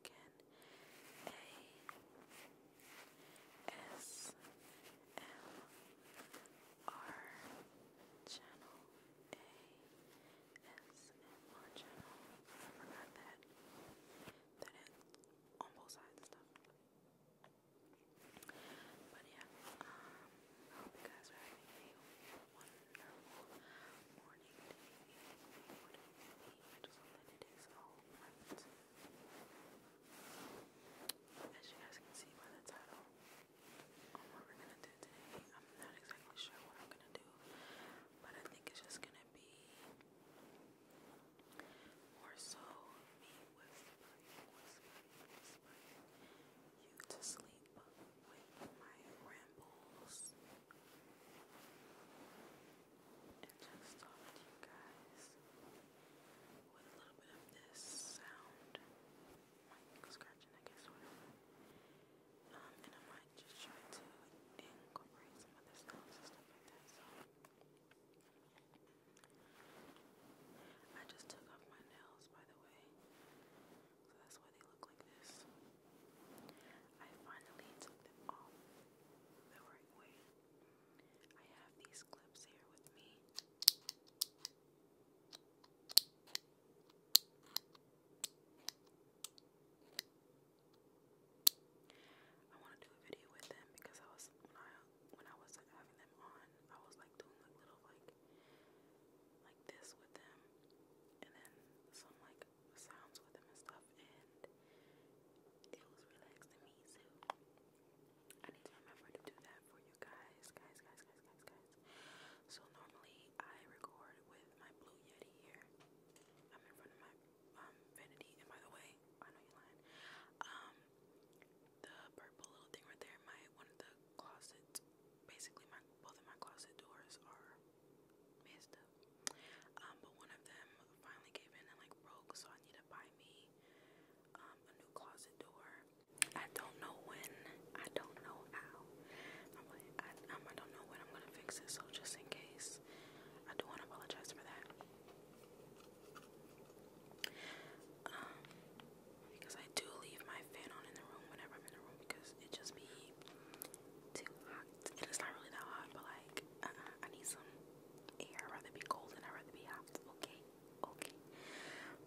again. A S M R channel. A S M R channel. I forgot that. That on both sides and stuff. But yeah, um, I hope you guys are having a wonderful morning, as you guys can see by the title on what we're gonna do today, I'm not exactly sure what I'm gonna do, but I think it's just gonna be more so me whispering, you to sleep with my rambles just talk to you guys with a little bit of this sound, like scratching, I guess, whatever. and I might just try to incorporate some other sounds and stuff like that. So I just took off my nails, by the way, so that's why they look like this. I finally took them off the right way. I have these clips here with me. I want to do a video with them because I was when I was having them on, I was like doing like little like like this with them, and then some like sounds with them and stuff off it was relaxing me so I need to remember to do that for you guys guys guys guys guys guys so normally I record with my blue yeti here I'm in front of my um, vanity and by the way I know you're lying um the purple little thing right there my one of the closets basically my both of my closet doors are messed um, but one of them finally gave in and like broke, so I need to buy me um, a new closet door. I don't know when, I don't know how. I'm like, I, um, don't know when I'm gonna fix it, so just in case, I do want to apologize for that. because I do leave my fan on in the room whenever I'm in the room because it just be too hot. it's not really that hot, but like, uh-uh, I need some i rather be cold than i rather be hot. Okay, okay.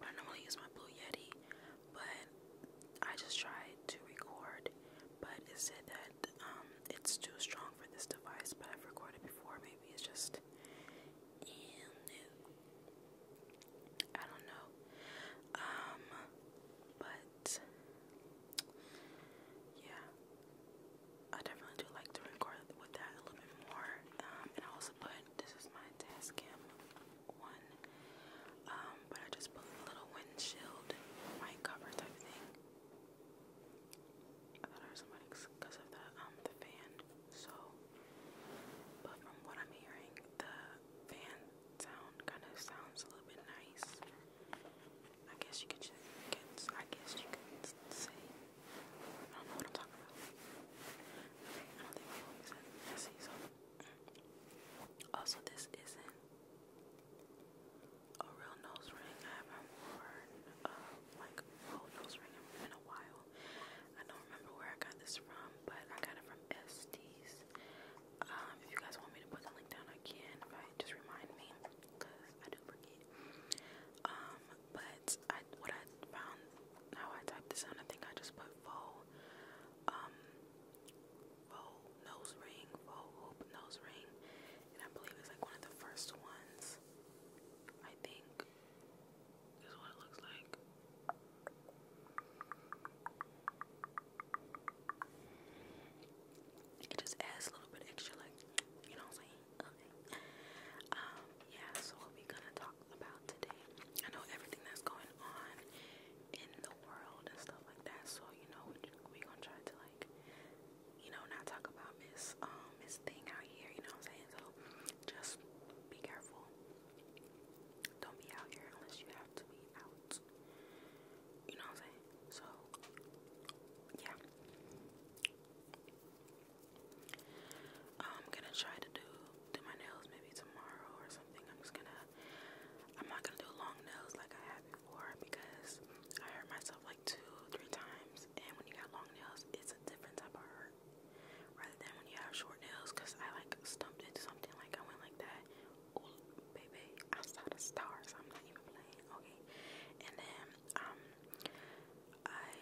I normally use my Blue Yeti, but I just tried to record, but it said that um, it's too strong for this device. But I've recorded before. Maybe it's just in it. I don't know. Um, but yeah, I definitely do like to record with that a little bit more. Um, and I also put this is my Tascam one, um, but I just put a little windshield mic cover type thing. I thought I was somebody because of the um the fan. So, but from what I'm hearing, the fan sound kind of sounds a little bit nice. I guess you could just, I guess you could say, I don't know what I'm talking about. I don't think my homie said messy, so. Also, this isn't a real nose ring. I haven't worn uh, a like whole nose ring in a while. I don't remember where I got this from, but I got it from SD's. Um, if you guys want me to put the link down, I can. But just remind me, cause I do forget. Um, but what I found how I typed this in, I think I just put faux um nose ring, faux hoop nose ring, and I believe it's like one of the first ones. I think this is looks like. You just add a little bit extra, like, you know Um, yeah, so we're gonna talk about today. I know everything that's going on in the world and stuff like that, so you know, we're gonna try to, like, you know, not talk about Miss, um, Miss Thing out here, you know what I'm saying? So just be careful. Don't be out here unless you have to be out. You know what I'm saying? So, yeah. I'm gonna try to do do my nails maybe tomorrow or something. I'm just gonna I'm not gonna do long nails like I had before because I hurt myself like two, three times and when you got long nails it's a different type of hurt rather than when you have short nails because I like stumped into something like I went like that. baby, I saw the stars, I'm not even playing, okay. And then um, I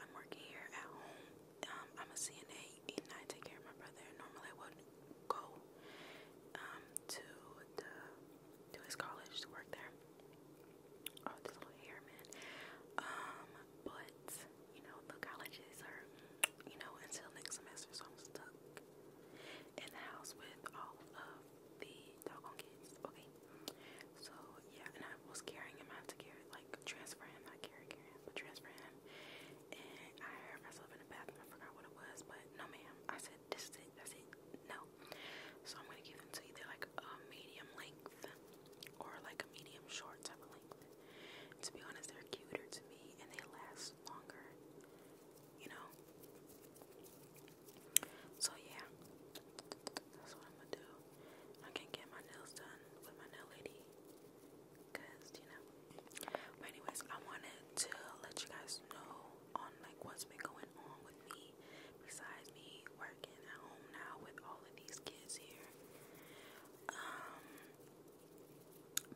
I'm working here at home. Um, I'm a CNA and I take care of my brother. Normally I would go um to the to his college to work there. Oh, this little hair man. Um, but you know the colleges are you know until next semester, so I'm stuck in the house with all of the doggone kids. Okay. So yeah, and I was carrying him. I had to carry like transfer him, not carry carry him, but transfer him. And I heard myself in the bathroom. I forgot what it was, but no ma'am. I said this is it, that's it. No. So I'm gonna give him to either like a medium length or like a medium short type of length. To be honest, they're cuter to me and they last longer. You know? So yeah, that's what I'm gonna do. I can't get my nails done with my nail lady, cause you know. anyways, I wanted to let you guys know on like what's been going on with me, besides me working at home now with all of these kids here. Um,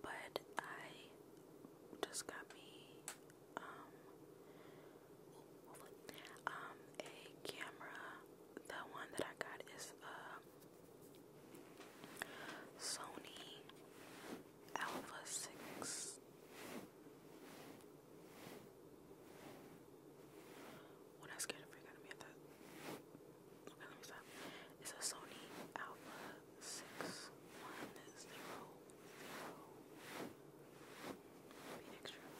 but I just got me um, um, a camera. The one that I got is uh, Sony Alpha 6. When I scared of gonna be at that. Okay, let me stop. It's a Sony Alpha 61000. Phoenix room.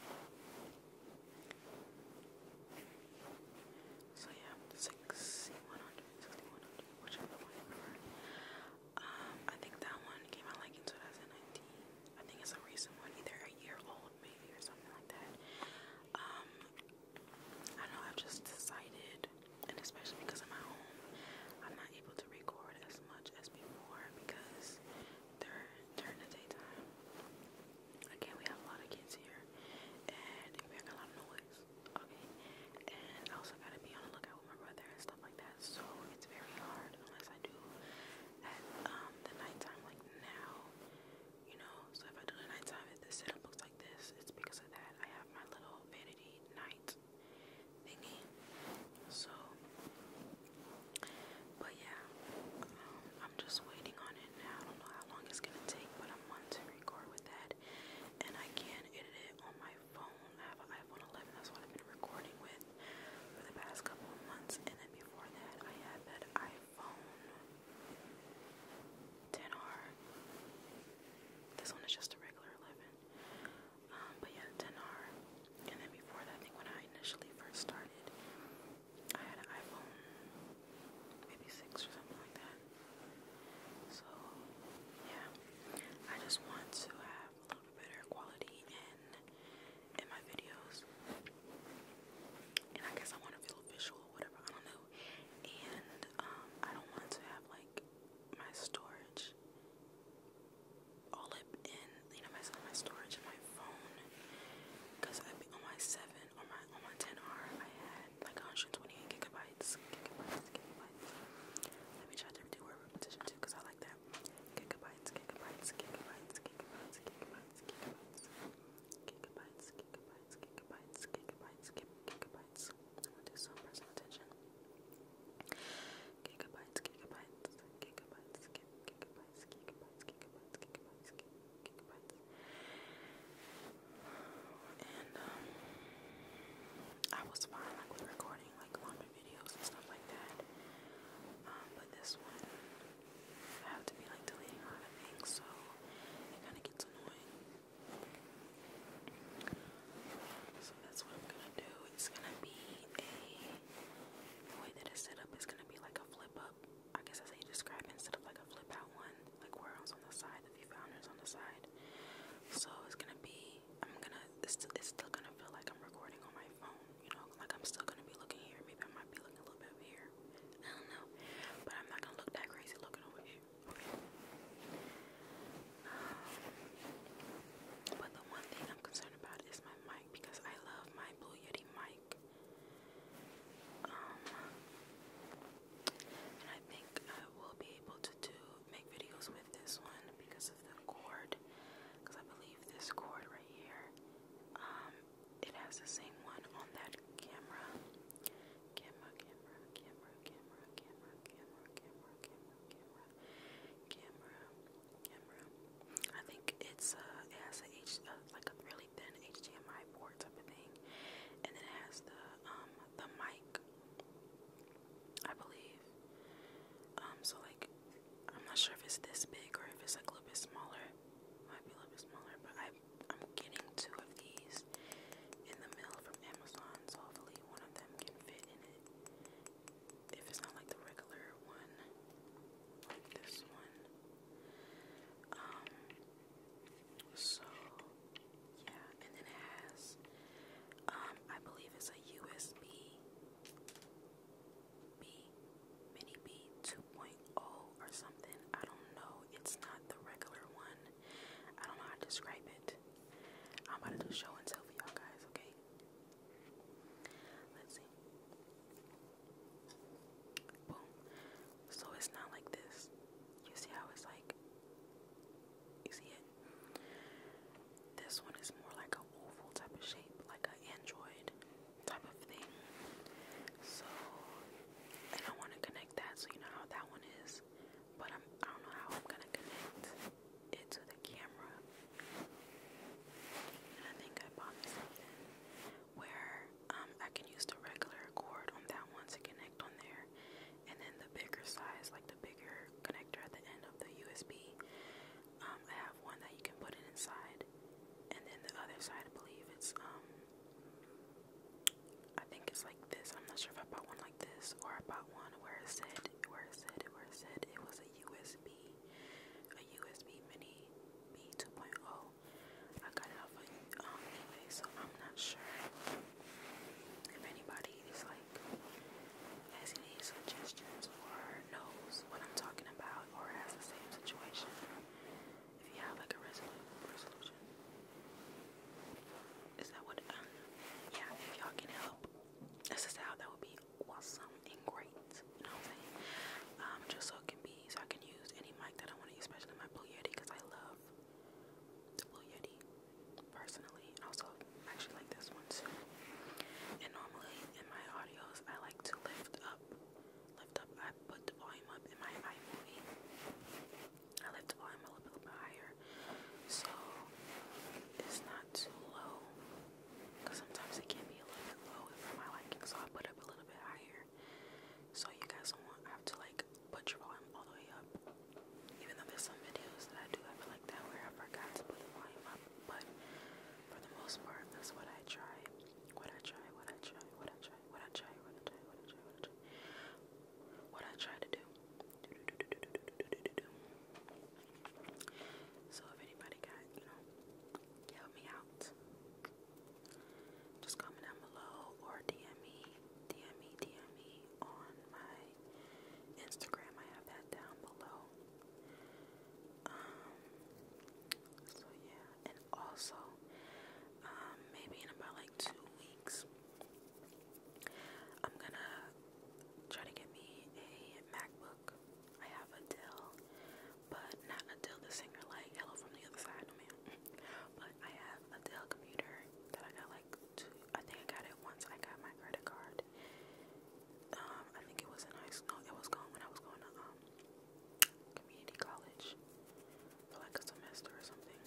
So yeah, sixty one hundred, sixty one hundred, whichever one you Um, I think that one came out like in 2019. I think it's a recent one, either a year old maybe or something like that. Um, I know, I've just decided, and especially because I'm home, I'm not able to record as much as before because during, during the daytime. Again, we have a lot of kids here, and they make a lot of noise, okay? And I also gotta be on the lookout with my brother and stuff like that, so it's very hard unless I do at um, the nighttime, like now, you know? So if I do the nighttime, if the setup looks like this, it's because of that. I have my little vanity night thingy. So, but yeah, um, I'm just waiting on it now. I don't know how long it's gonna take, but I'm wanting to record with that, and I can edit it on my phone. I have an iPhone 11. That's what I've been recording with for the past couple of months, and before that, I had that iPhone 10 This one is just a regular 11. Um, but yeah, Denar. And then before that, I think when I initially first started, I had an iPhone, maybe six or something like that. So yeah, I just want to have a little bit better quality in in my videos, and I guess I want to feel visual or whatever. I don't know, and um, I don't want to have like my storage storage all up in you know my my storage my phone because I be on my seven on my on my 10R I had like 128 gigabytes gigabytes gigabytes let me try to do a repetition too because I like that gigabytes gigabytes gigabytes gigabytes gigabytes gigabytes gigabytes gigabytes gigabytes gigabytes gigabytes gigabytes, gigabytes, gigabytes, gigabytes, gigabytes, gigabytes, gigabytes, gigabytes. And um, I was fine with recording like longer videos and stuff like that. Um, but this one, I have to be like deleting a lot of things, so it kind of gets annoying. So that's what I'm gonna do. It's gonna be a the way that it's set up is gonna be like a flip up. I guess I how you describe instead of like a flip out one, like where I on the side, the view founders on the side. So it's gonna be, I'm gonna, it's, st still gonna feel like I'm recording on my phone, you know, like I'm still gonna be looking here. Maybe I might be looking a little bit over here. I don't know, but I'm not gonna look that crazy looking over here. but the one thing I'm concerned about is my mic because I love my Blue Yeti mic. Um, and I think I will be able to do make videos with this one because of the cord. Because I believe this cord right here, um, it has the same one on that camera camera, camera. I think it's uh, it has a H, uh, like a really thin HDMI port type of thing, and then it has the um the mic, I believe. Um, so like, I'm not sure if it's this big or if it's like a little bit smaller. Might be a little bit smaller, but I I'm getting two of these in the mail from Amazon, so hopefully one of them can fit in it if it's not like the regular one, like this one. Um, so yeah, and then it has, um, I believe it's a USB B, mini B 2.0 or something. I don't know. It's not the regular one. I don't know how to describe it. I'm about to do show and tell for y'all guys, okay? Let's see. Boom. So it's not like this. You see how it's like. You see it? This one is more like an oval type of shape, like an android type of thing. So, and I want to connect that, so you know how that one is. But I'm, i do not know how I'm gonna connect into the camera. And I think I bought something where um, I can use the regular cord on that one to connect on there, and then the bigger size, like the bigger connector at the end of the USB. Um, I have one that you can put it inside, and then the other side, I believe it's um, I think it's like this. I'm not sure if I bought one like this or I bought one where it said, where it said, where it said it was a USB a USB Mini B 2.0. I got it off of um, so I'm not sure if anybody is like has any suggestions or knows what I'm talking about or has the same situation. If you have like a resolu resolution, is that what? Um, yeah, if y'all can help, this is how that would be awesome and great. You know what I'm saying? Um, just so it can be, so I can use any mic that I want to use, especially my Blue Yeti, because I love the Blue Yeti personally. Also, actually like this one too. And normally in my audios, I like to lift up, lift up. I put the volume up in my iMovie. I lift the volume a little bit higher, so it's not too low. Because sometimes it can be a little bit low for my liking, so I put up a little bit higher. So you guys don't want, I have to like put your volume all the way up. Even though there's some videos that I do have like that where I forgot to put the volume up, but for the most part, that's what I try. What I try, what I try, what I try, what I try, what I try, what I try, what I try, what I try to do. do, do, do, do, do, do, do, do, do. So if anybody got, you know, help me out. Just comment down below or DM me, DM me, DM me on my Instagram. I have that down below. Um, so yeah, and also, um, maybe in about like two weeks, I'm gonna try to get me a MacBook. I have Adele, but not Adele the singer, like Hello from the Other Side, no ma'am. But I have Adele computer that I got like I think I got it once I got my credit card. Um, I think it was a nice. school, it was gone when I was going to um community college for like a semester or something.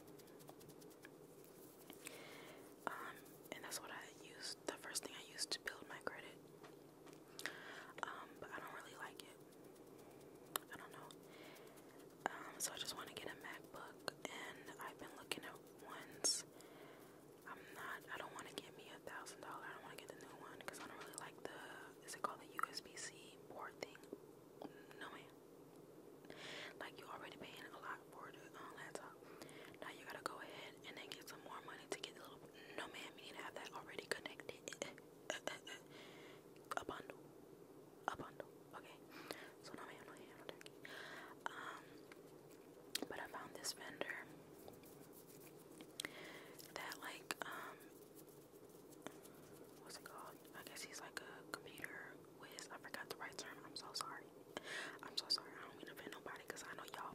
Um, and that's what I used, the first thing I used to build my credit. Um, but I don't really like it. I don't know. Um, so I just want to get a MacBook and I've been looking at ones. I'm not I don't want to get me a thousand dollar. I don't want to get the new one because I don't really like the is it called the USB C board thing? No man. Like you already paying a lot for the uh, laptop. Now you gotta go ahead no, ma'am, you need to have that already connected. a bundle. A bundle. Okay. So, no, ma'am, no, ma'am, Um, but I found this vendor that, like, um, what's it called? I guess he's like a computer whiz. I forgot the right term. I'm so sorry. I'm so sorry. I don't mean to offend nobody because I know y'all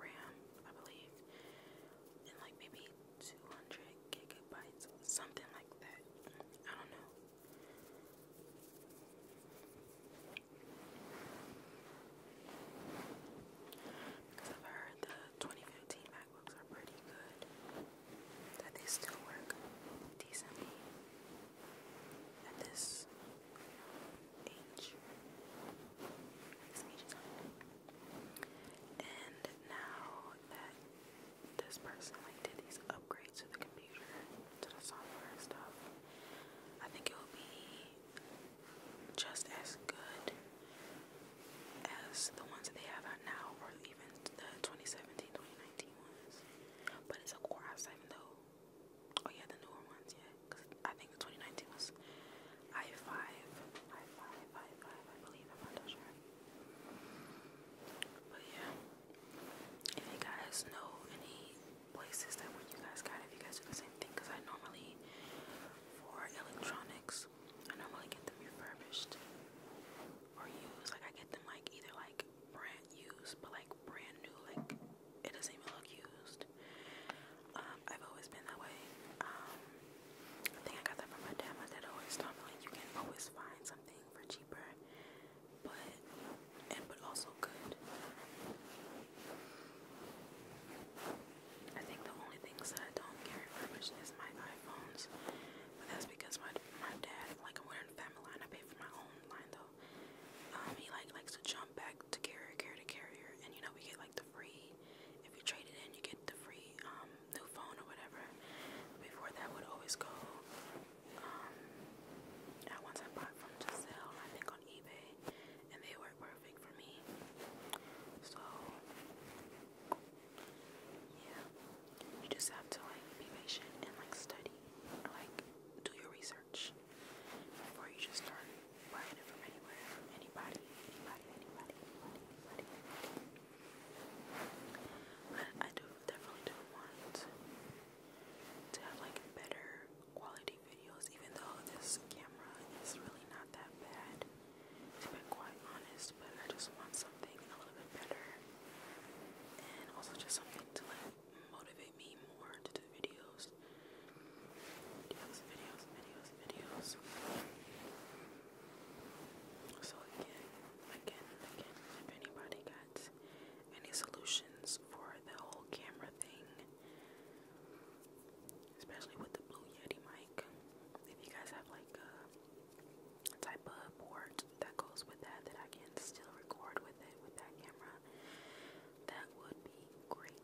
RAM, I believe, and like maybe 200 gigabytes, something like that. I don't know. Because I've heard the 2015 MacBooks are pretty good, that they still work decently at this H. Makes And now that this person like did these upgrades to the computer, to the software and stuff, I think it will be just as good as the ones that they have out now, or even the 2017, 2019 ones. But it's a core i though. Oh yeah, the newer ones, yeah. Cause I think 2019 was i5, i5, i5, I believe. I'm not sure. But yeah, if you guys know any places that where you guys got, if you guys do the same thing, cause I normally for electronics, I normally get them refurbished or used. Like I get them like either like brand used, but like brand new, like it doesn't even look used. Um, I've always been that way. Um, I think I got that from my dad. My dad always taught me you can always find something for cheaper, but and but also good. I think the only things that don't carry much is my iPhones, but that's because my my dad like we're in family line. I pay for my own line though. Um, he like likes to jump back to carrier, carrier carrier, and you we get like the free, if you trade it in, you get the free um, new phone or whatever. Before that would always go, um, I I bought from Giselle, I think on eBay, and they were perfect for me. So, yeah, you just have to like be patient and like study, like do your research before you just start buying it from anywhere, anybody, anybody, anybody, anybody, I do definitely do want to have like better quality videos, even though this camera is really not that bad. To be quite honest, but I just want something a little bit better, and also just something to like motivate me more to do videos videos. Videos, videos, videos, So again, again, again, if anybody got any solutions for the whole camera thing, especially with the Blue Yeti mic, if you guys have like a type of board that goes with that that I can still record with it with that camera, that would be great.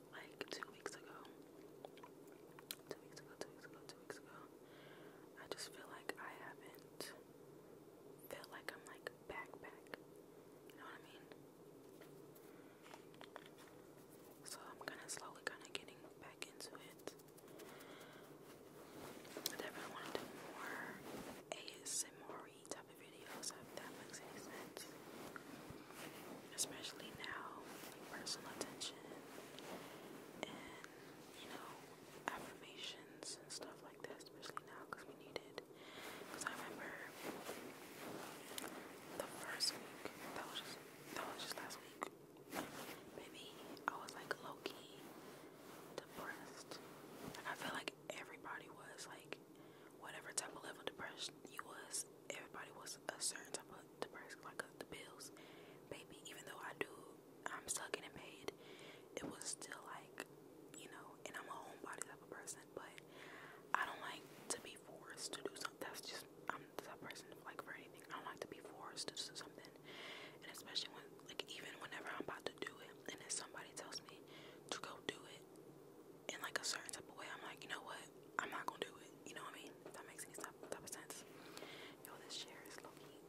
like two weeks ago. Two weeks ago, two weeks ago, two weeks ago. I just feel like I haven't felt like I'm like back back. You know what I mean? So I'm kind of slowly kind of getting back into it. I definitely want to do more ASMR type of videos that makes any sense especially now, like personal attention and you know affirmations and stuff like that, especially now because we need it. Because I remember the first week that was just that was just last week, maybe I was like low key depressed. Like I feel like everybody was like whatever type of level of depression you was everybody was a certain type of the like uh, the bills. Baby, even though I do, I'm stuck getting paid. It was still like, you know, and I'm a homebody type of person, but I don't like to be forced to do something. That's just I'm that type of person like for anything. I don't like to be forced to do something, and especially when like even whenever I'm about to do it, and then somebody tells me to go do it in like a certain type of way, I'm like, you know what? I'm not gonna do it. You know what I mean? that makes any sense. Yo, this chair is low key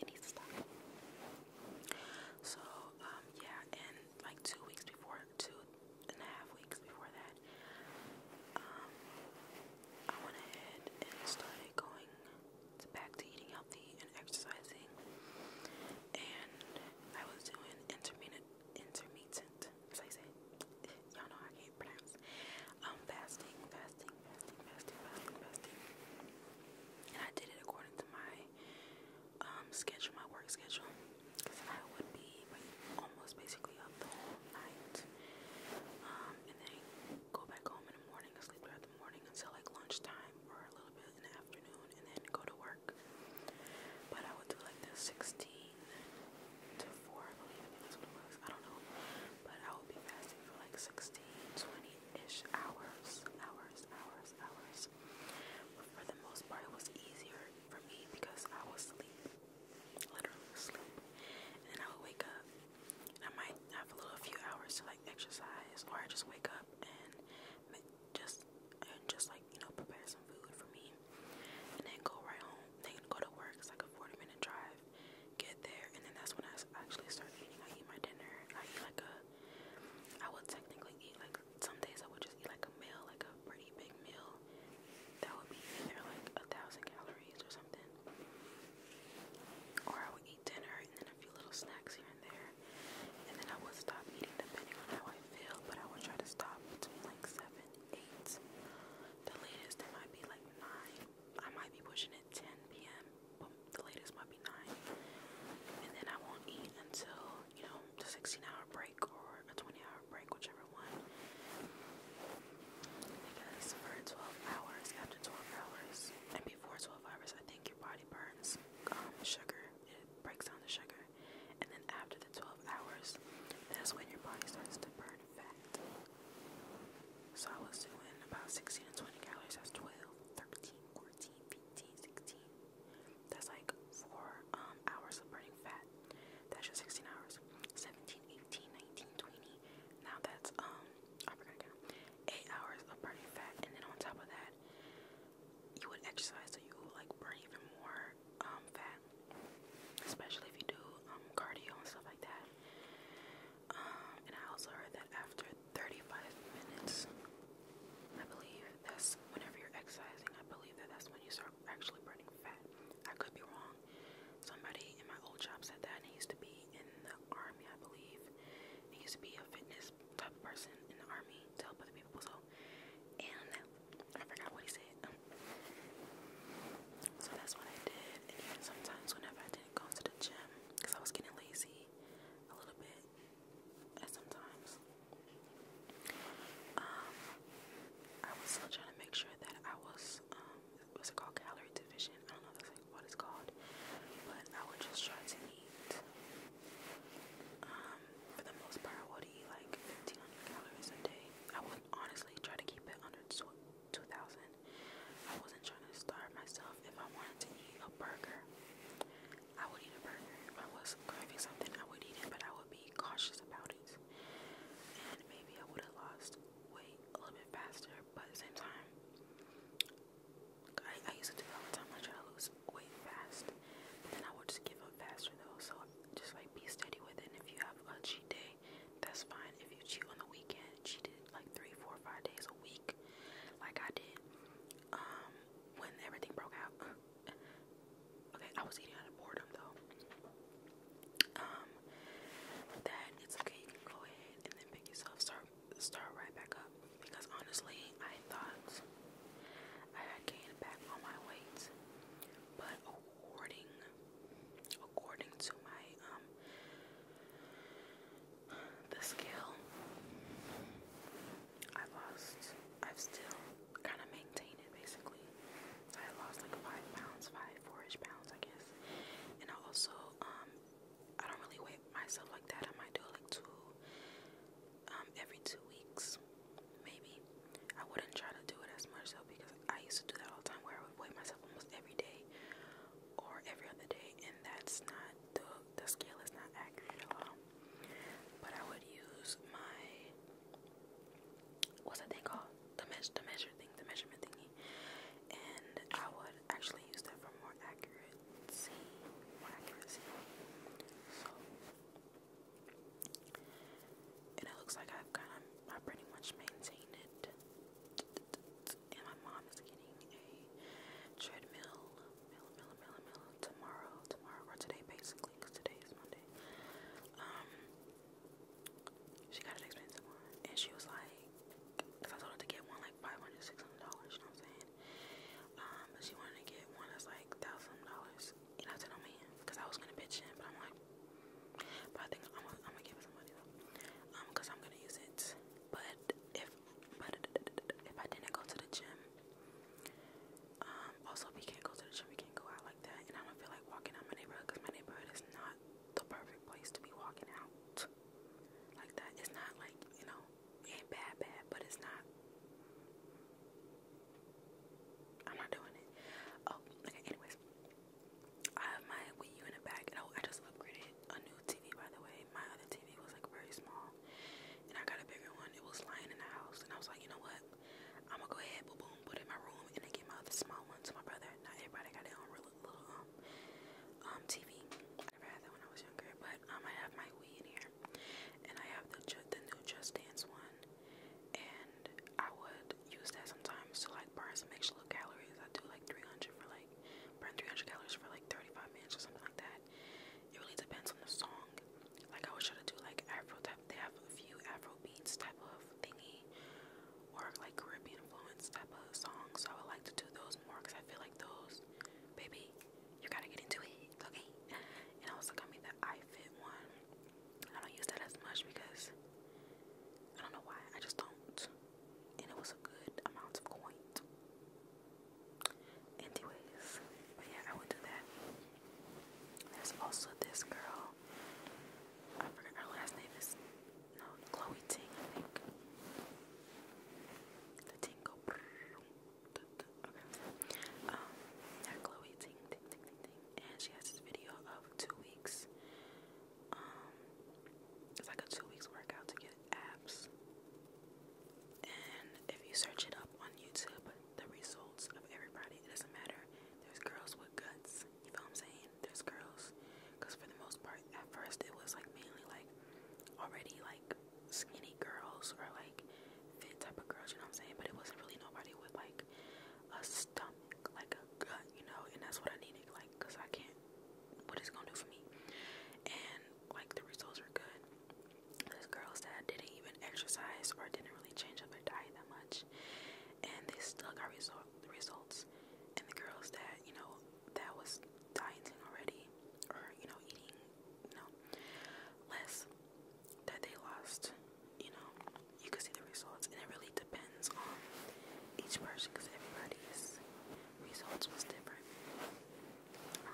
It needs to stop. So, um, yeah, and like two weeks before, two and a half weeks before that, um, I went ahead and started going back to eating healthy and exercising. And I was doing intermittent, intermittent, as I say, y'all know I can't you pronounce. Um, fasting, fasting, fasting, fasting, fasting, fasting. And I did it according to my um schedule, my work schedule, because I would be like, almost basically up the whole night, um, and then go back home in the morning, and sleep throughout the morning until like lunchtime or a little bit in the afternoon, and then go to work. But I would do like the 16 to 4, I believe. I think that's what it was. I don't know. But I will be fasting for like 16, 20-ish hours, hours, hours, hours. But for the most part, it was easier for me because I was asleep, literally asleep. And then I would wake up. And I might have a little few hours to like exercise, or I just wake up and just and just like you know prepare some food for me and then go right home. Then go to work. It's like a 40 minute drive. Get there, and then that's when I actually start eating. I eat my dinner. I eat like a. I would technically eat like some days. I would just eat like a meal, like a pretty big meal. That would be either like a thousand calories or something. Or I would eat dinner and then a few little snacks here and there. And then I would stop eating depending on how I feel, but I would try to stop between like seven, eight. The latest it might be like 9. I might be pushing at 10 p.m. the latest might be 9. And then I won't eat until, you know, the 16 hour break or a 20 hour break, whichever one. Because for 12 hours, after 12 hours, and before 12 hours, I think your body burns um, sugar. It breaks down the sugar. And then after the 12 hours, that's when your body starts to burn fat. So I was doing about 16 to 20 calories. That's 12, 13, 14, 15, 16. That's like four um, hours of burning fat. That's just 16 hours. 17, 18, 19, 20. Now that's, um, I forgot to count. Eight hours of burning fat. And then on top of that, you would exercise so you would like burn even more um, fat, especially if you do um, cardio and stuff like that. Um, and I also heard that after 35 minutes, I believe that's whenever you're exercising, I believe that that's when you start actually burning fat. I could be wrong. Somebody in my old job said that, and he used to be in the army, I believe. He used to be a fitness type person in the army to help other people. So, and I forgot what he said. so that's what I did. And sometimes whenever I didn't go to the gym, because I was getting lazy a little bit at sometimes. Um I was still trying to make sure that I was um what's it called calorie division? I don't know that's like what it's called. But I would just try to eat um for the most part would eat like 1500 calories a day. I would honestly try to keep it under 2000. I wasn't trying to starve myself. If I wanted to eat a burger, I would eat a burger. If I was craving something, I would eat it, but I would be cautious about it. And maybe I would have lost weight a little bit faster, but at the same time, I, I used to do that all the time. I try to lose weight fast, and I would just give up faster though. So just like be steady with it. if you have a cheat day, that's fine. If you cheat on the weekend, it like three, four, five days a week, like I did, um, when everything broke out. okay, I was eating out of boredom though. Um, that it's okay. You can go ahead and then pick yourself start start right back up because honestly, I thought I gained back on my weight, but oh, according according to my um the scale I lost I've still kind of maintained it basically. So I lost like five pounds, five, pounds I guess. And also um I don't really weigh myself like that. I might do like two um every two weeks maybe. I wouldn't try to do it as much though because I used to do that all the time where I would weigh myself almost every day or every other day and that's not the the scale is not accurate at all. But I would use my what's that thing called? The measure the measure thing, the measurement thingy. And I would actually use that for more accuracy. And it looks like I've kind of, I pretty much maintained it. And my mom is getting a treadmill, tomorrow, tomorrow, or today basically, because today is Monday. Um, she got an expensive one, and she was like, because I told her to get one like 500 dollars you know what I'm saying? Um, but she wanted to get one that's like $1,000 and I said, oh man, because I was gonna pitch in, but I'm like, but I think I'm gonna, give it somebody though, um, because I'm gonna use it. But if but if I didn't go to the gym, um, also we can't go to the gym, we can't go out like that, and I don't feel like walking out my neighborhood because my neighborhood is not the perfect place to be walking out like that. It's not like you know, ain't bad, bad, but it's not. I'm not doing it. Oh, okay. Anyways, I have my Wii U in the back, and I, I just upgraded a new TV by the way. My other TV was like very small, and I got a bigger one. It was lying in the house, and I was like, you know what? I'm gonna go ahead, boom, boom, put it in my room, and then get my other small one to my brother. Not everybody got their own real little um um TV. I never had that when I was younger, but um I have my Wii in here, and I have the the new Just Dance one and I would use that sometimes to like burn some extra little calories. I do like 300 for like burn 300 calories for like 35 minutes or something like that. It really depends on the song. Like I was trying to do like Afro type. They have a few Afro beats type of thingy, Work like Caribbean influence type of songs. So I would like to do those more because I feel like those, baby, you gotta get into it, okay? And I also got me the I one. I don't use that as much because I don't know why. I just don't. And it was a good amount of coin. Anyways, but yeah, I would do that. There's also this girl. I forgot her last name is no Chloe Ting, The Tingle. Okay. Um, yeah, Chloe Ting, Ting, Ting, Ting. And she has this video of two weeks. Um, it's like a two weeks workout to get abs. And if you search it up on YouTube, the results of everybody, doesn't matter. There's girls with guts. You feel what I'm saying? There's girls. Because for the most part, at first it was like mainly like already like skinny girls or like fit type of girls, you know what I'm saying? But it wasn't really nobody with like a stomach like a gut, you know, and that's what I needed, like, cause I can't, what it's gonna do for me, and like the results are good. This girl said I didn't even exercise or didn't really change up her diet that much, and they still got result the results. And the girls that you know that was dieting already, or you know eating, you know, less, that they lost you know, you can see the results, and it really depends on each person because everybody's results was different.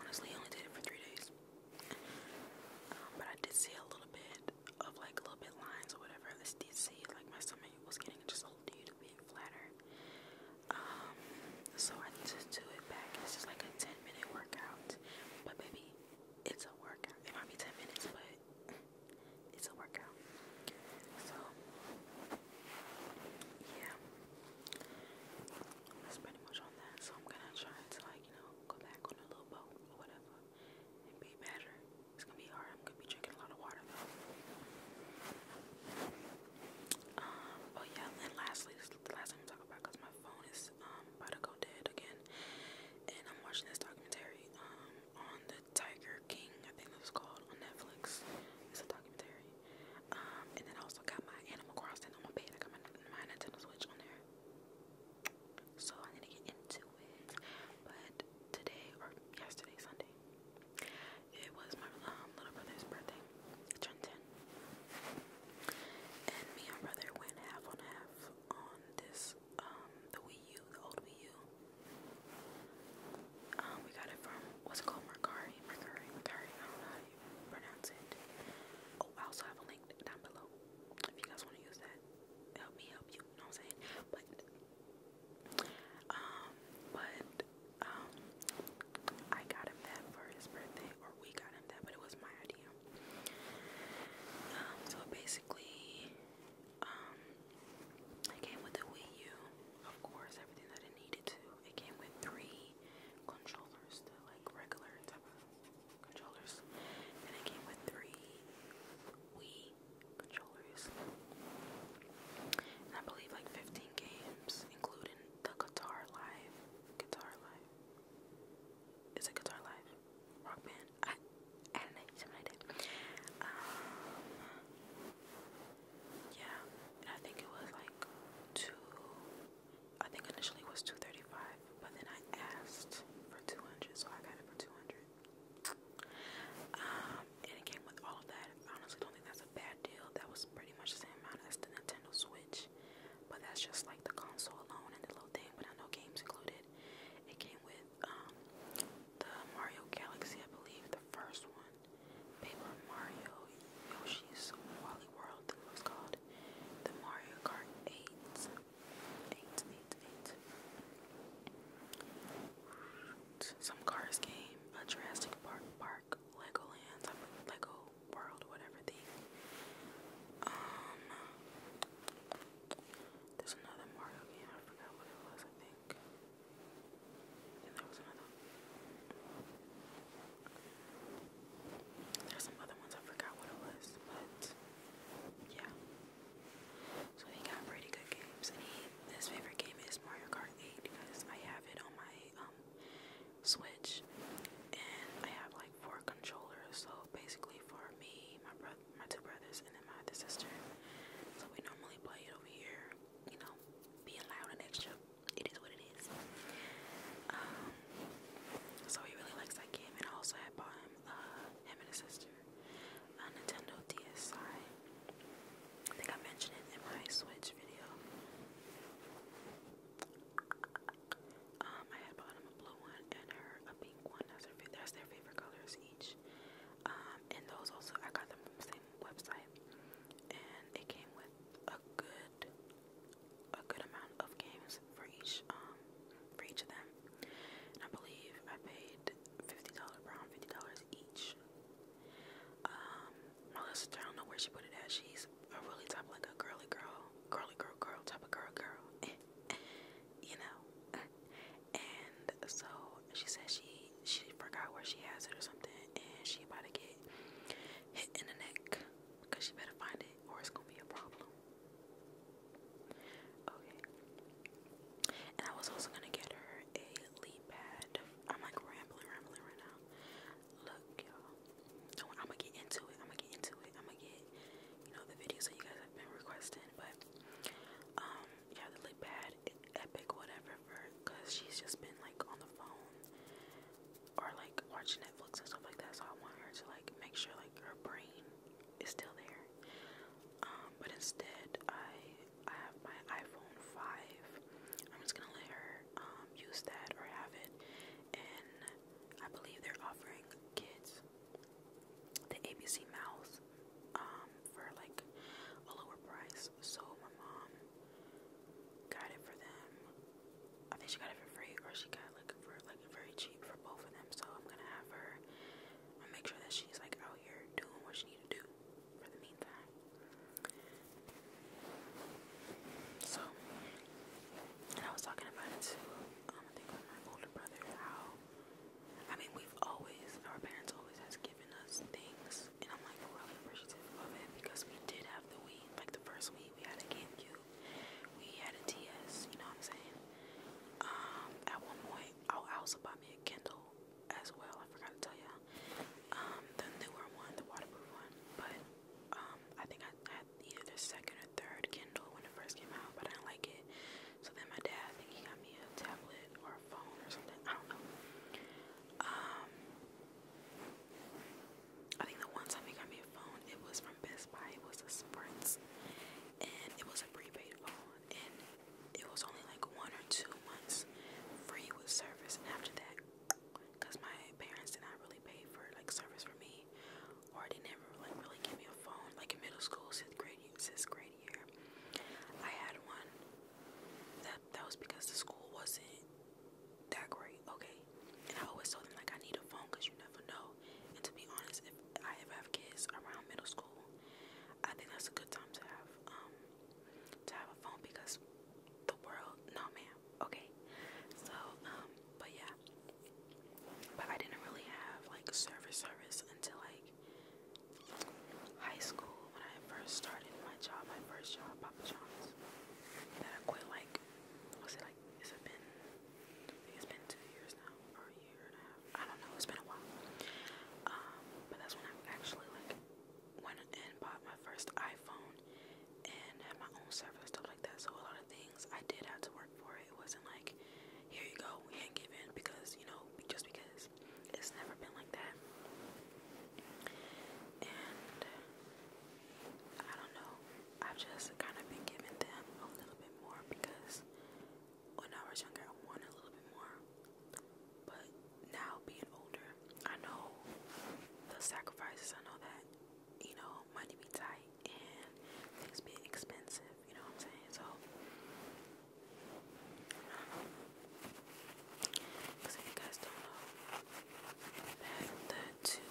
Honestly, I only did it for three days, um, but I did see a little bit of like a little bit lines or whatever. I did see like my stomach was getting just a little bit flatter. Um, so I just do it back. It's just like a 10 minute workout, but maybe it's a workout. It might be 10 minutes, but it's a workout. So yeah, that's pretty much on that. So I'm gonna try to like you know go back on a little boat or whatever and be better. It's gonna be hard. I'm gonna be drinking a lot of water um, oh yeah, and lastly, the last thing I'm talking about because my phone is um, about to go dead again, and I'm watching this documentary um, on the Tiger King, I think it was called on Netflix. It's a documentary. Um, and then I also got my Animal Crossing on my bed. I got my, Nintendo Switch on there. So I need to get into it. But today or yesterday, Sunday, it was my um, little brother's birthday. He turned 10. And me and brother went half on half on this um the Wii U, the old Wii U. Um, we got it from what's it called Mercari, Mercari, Mercari. I don't know how you pronounce it. Oh, I also have a link down below if you guys want to use that. Help me help you. You know what I'm saying? But um, but um, I got him that for his birthday, or we got him that, but it was my idea. Um, so basically, um, it came with the Wii U, of course, everything that it needed to. It came with three controllers, like regular type of controllers. Then it came with three Wii controllers. And I believe like 15 games, including the Guitar Live. Guitar Live. Is it Guitar Live? rock band. I, I do yeah, I think it was like two. I think initially it was two thirty-five, but then I asked for two hundred, so I got it for two hundred. and it came with all of that. I honestly don't think that's a bad deal. That was pretty much the same amount as the Nintendo Switch, but that's just like the console alone and the little thing. But I games included. It came with um, the Mario Galaxy, I believe, the first one, Paper Mario, Yoshi's Wally World, it was called, the Mario Kart 8, Some Cars game, a Jurassic Park, Park Legoland, Lego World, whatever the. Um, there's another Mario game, I forgot what it was, I think. And there was another There's some other ones I forgot what it was, but yeah. So he got pretty good games and he his favorite game is Mario Kart 8 because I have it on my um Switch and I have like four controllers so basically for me, my brother my two brothers, and then my other sister. So we normally play it over here, you know, being loud and extra. It is what it is. Um, so he really likes that game, and also had bought him, uh, him and his sister, a Nintendo DSi. I think I mentioned it in my Switch video. Um, I had bought him a blue one and her a pink one. that's their favorite colors each page. Um, and those also, I got them from the same website. And it came with a good, a good amount of games for each, um, for each of them. I believe I paid $50, around $50 each. Um, my sister, I don't know where she put it at. She's a really type like a girly girl, girly girl, girl type of girl, girl. you know, and so she says she she forgot where she has it or something, and she about to get hit in the neck because she better find it or it's gonna be a problem. Okay, and I was also gonna get her a lead pad. I'm like rambling, rambling right now. Look, y'all. I'm gonna get into it. I'm gonna get into it. I'm gonna get, you know, the videos that you guys have been requesting, but um, yeah, the lip pad, epic, whatever, because she's just been like on the phone or like watching Netflix and stuff like that. So I want her to like make sure like her brain is still there. Um, but instead, I I have my iPhone five. I'm just gonna let her um, use that or have it, and I believe they're offering kids the ABC Mouth um, for like a lower price. So my mom got it for them. I think she got it for free, or she got like for like very cheap for both of them. So I'm gonna have her. i uh, make sure that she's like out here doing what she need to do for the meantime. So, I was talking about it to um, I think my older brother how I mean, we've always, our parents always has given us things, and I'm like really appreciative of it because we did have the Wii. Like the first Wii, we had a you. we had a DS. You know what I'm saying? Um, at one point, I, I also bought me a Kindle as well. I forgot to tell y'all. Um, the newer one, the waterproof one, but um, I think I had either second or third Kindle when it first came out, but I didn't like it. So then my dad, I think he got me a tablet or a phone or something. I don't know. Um, I think the one time he got me a phone, it was from Best Buy. It was a Sprint, and it was a prepaid phone, and it was only like one or two months free with service. And after that, because my parents did not really pay for like service for me, or they never like really give me a phone. Like in middle school, sixth grade, sixth grade freshman year. I had one. That that was because the school wasn't that great, okay? And I always told them like I need a phone because you never know. And to be honest, if I ever have kids around middle school, I think that's a good time to have um to have a phone because the world no ma'am, okay? So, um, but yeah. But I didn't really have like service service until like high school when I first started my job, my first job, Papa John's, that I quit like, was it like, has it been, I think it's been two years now, or a year and a half, I don't know, it's been a while, um, but that's when I actually like, went and bought my first iPhone, and had my own service, stuff like that, so a lot of things I did have to work for it wasn't like, here you go, we ain't giving because, you know, just because. It's never been like that. And I don't know. I've just kind of been giving them a little bit more because when I was younger, I wanted a little bit more. But now being older, I know the sacrifices. I know that, you know, money be tight and things be expensive you know what I'm saying? So, because you guys don't know, the two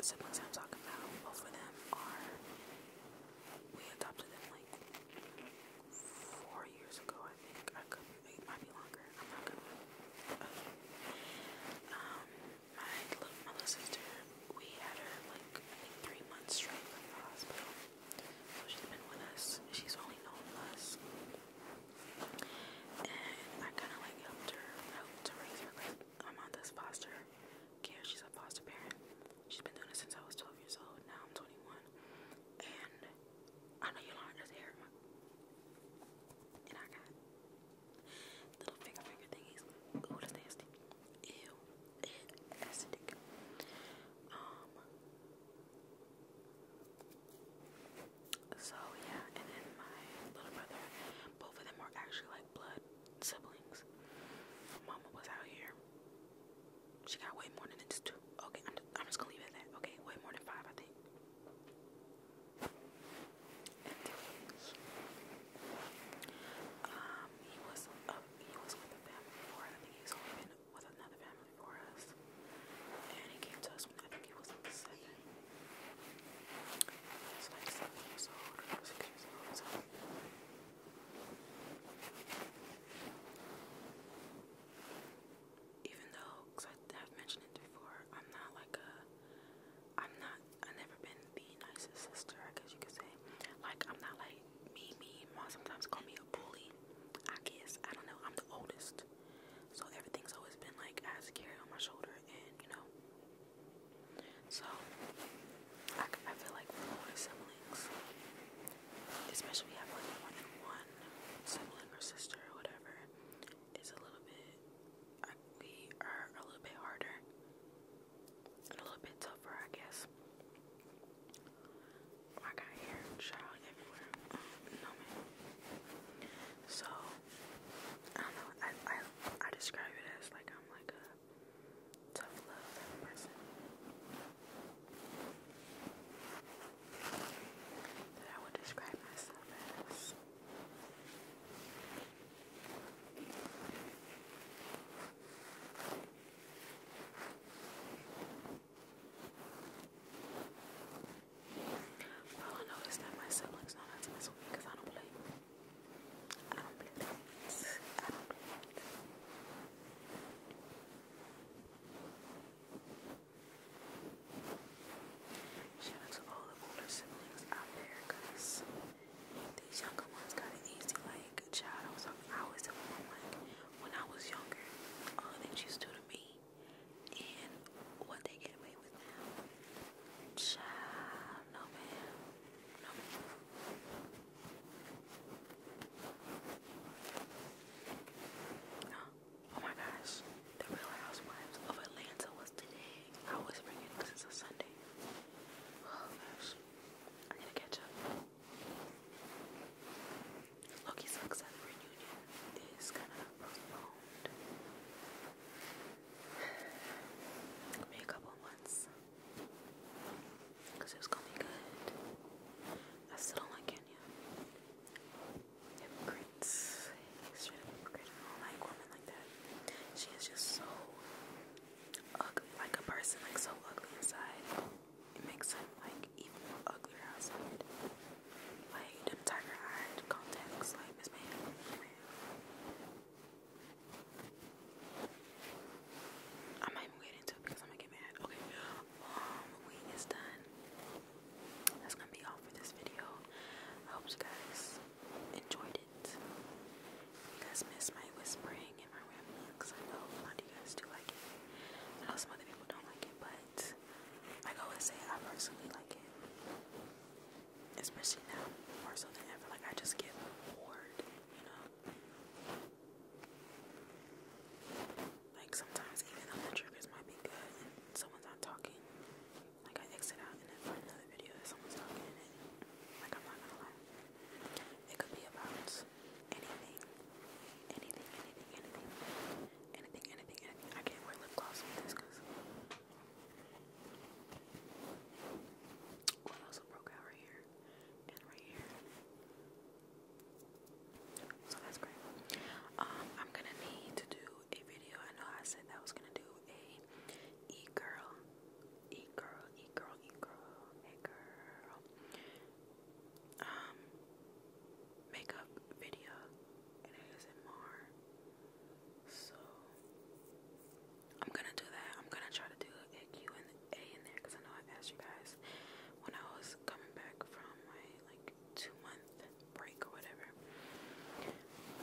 siblings I'm talking about, both of them are, we adopted them like four years ago, I think. I could, it might be longer. I'm not Um, my little, my little sister, we had her like three months straight in the hospital. So she's been with us. She's only known us. And I kind of like helped her, helped to raise her. Like, foster care. She's a foster parent. She's been doing it since I was 12 years old. Now I'm 21. And I know Yolanda does hair. And I got little finger finger thingies. Ooh, that's nasty. Ew so yeah, and then my little brother, both of them are actually like blood siblings. mama was out here. She got way more than just two. Okay, I'm, just gonna leave it at that. Okay, way more than five, I think. um, he was he was with a family before. I think he's only been with another family before us. And he came to us when I think he was like Even though, cause I have mentioned it before, I'm not like a, I'm not, I've never been the nicest sister, I guess you could say. Like, I'm not like me, me, mom sometimes call me a bully. I guess I don't know. I'm the oldest, so everything's always been like I have carry on my shoulder, and you know. So I, I feel like with older siblings, especially if you have like more than one sibling or sister or whatever, it's a little bit. I, we are a little bit harder a little bit tougher, I guess. I got hair and everywhere. Mm, so I don't know. I I I describe it as like I'm like a tough love person. That I would describe myself as. Well, I noticed that my siblings know not to mess with because I don't play. I don't play Shout out to all the older siblings out there because these younger ones got it easy. Like, child, I was talking, I always tell like, when I was younger, all that you stood to me and what they get away with now. Child, no man. No Oh, my gosh. The Real Housewives of Atlanta was today. I was bringing it because it's a Sunday. Oh gosh. I need to catch up. Loki's Luxon reunion is kind of postponed. Maybe a couple months. Because it going to be good. I still don't like Kenya. Hypocrites. hypocrite. I don't like women like that. She is just so ugly, like a person like so ugly inside, it makes him like even more uglier outside. Like them tiger eye contacts, like this man. I'm even getting into it because I'm gonna get mad. Okay, um, wheat is done. That's gonna be all for this video. I hope you guys enjoyed it. If you guys missed my because I know a of you guys do like it. I know some other people don't like it, but I always say, I personally like it. Especially now, more so than ever. Like I just get bored, you know. Like sometimes even though the triggers might be good and someone's not talking, like I exit out and then find another video that someone's talking in it. Like I'm not gonna lie. It could be about anything, anything, anything, anything, anything, anything, I can't wear lip gloss with this because I also broke out right here and right here. So that's great. Um, I'm gonna need to do a video. I know I said that I was gonna do a e girl E girl, e girl, e girl, hey girl. Um, makeup video and ASMR. So I'm gonna do that. I'm gonna try to do a Q and A in there because I know I have asked you guys when I was coming back from my like two month break or whatever.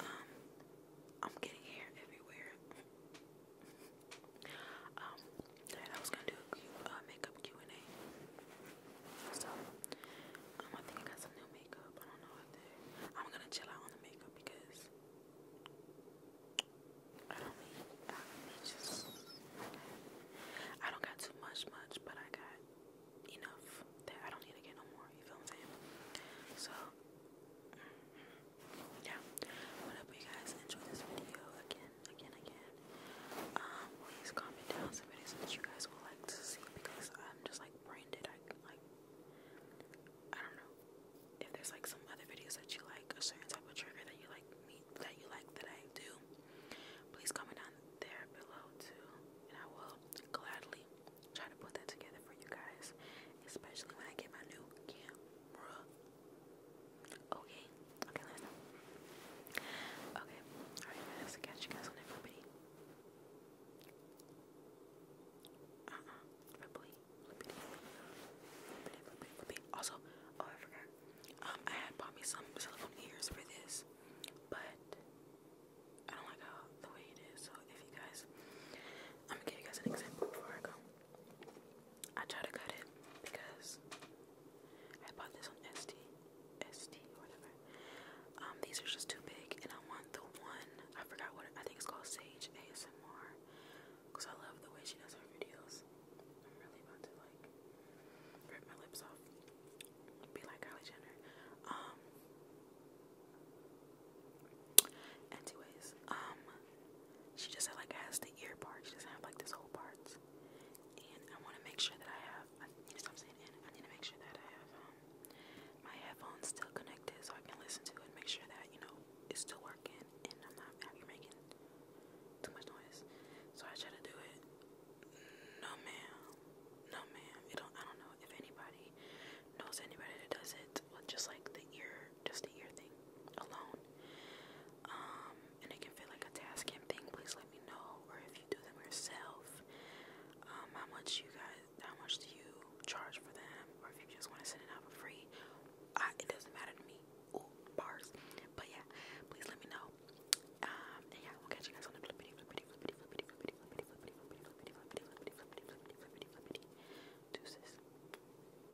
Um, I'm getting hair everywhere. Um, I was gonna do a Q, uh, makeup Q and A. So, um, I think I got some new makeup. I don't know what they. I'm gonna chill out on the makeup because I don't need. I, it's just I don't got too much, much, but I got enough that I don't need to get no more. You feel what So yeah what you guys enjoy this video again again again um please comment down some videos that you guys would like to see because i'm just like brain dead i like i don't know if there's like some other videos that you like a certain type of trigger that you like me that you like that i do please comment down there below too and i will gladly try to put that together for you guys especially when i get my new camera Okay, okay, let it know. Okay, alright guys, catch you guys on Uh-uh, flippity, flippity, flippity, flippity, flippity. Also, oh I forgot, um, I had bought me some silicone ears for this, but I don't like how the way it is, so if you guys, I'm gonna give you guys an example before I go. I try to cut it because I bought this on SD, SD or whatever. Um, these are just too big, and I want the one I forgot what it, I think it's called Sage ASMR because I love the way she does her videos. I'm really about to like rip my lips off, be like Kylie Jenner. Um, anyways, um, she just like has the ear part. She doesn't have like this whole part. And I want to make sure that I have. I, you know what I'm saying? I need to make sure that I have um, my headphones still connected so I can listen to it. and Make sure that you know it's still working and I'm not out making too much noise. So I try to do it. No, ma'am. No, ma'am. It don't. I don't know if anybody knows anybody that does it with just like the ear just a year thing, alone. and it can feel like a task and thing. Please let me know, or if you do them yourself, how much you guys, how much do you charge for them, or if you just want to send it out for free. it doesn't matter to me. Ooh, But yeah, please let me know. and yeah, we'll catch you guys on the flippity flippity flippity flippity flippity flippity flippity flippity flippity flippity flippity flippity flippity flippity flippity. Deuces.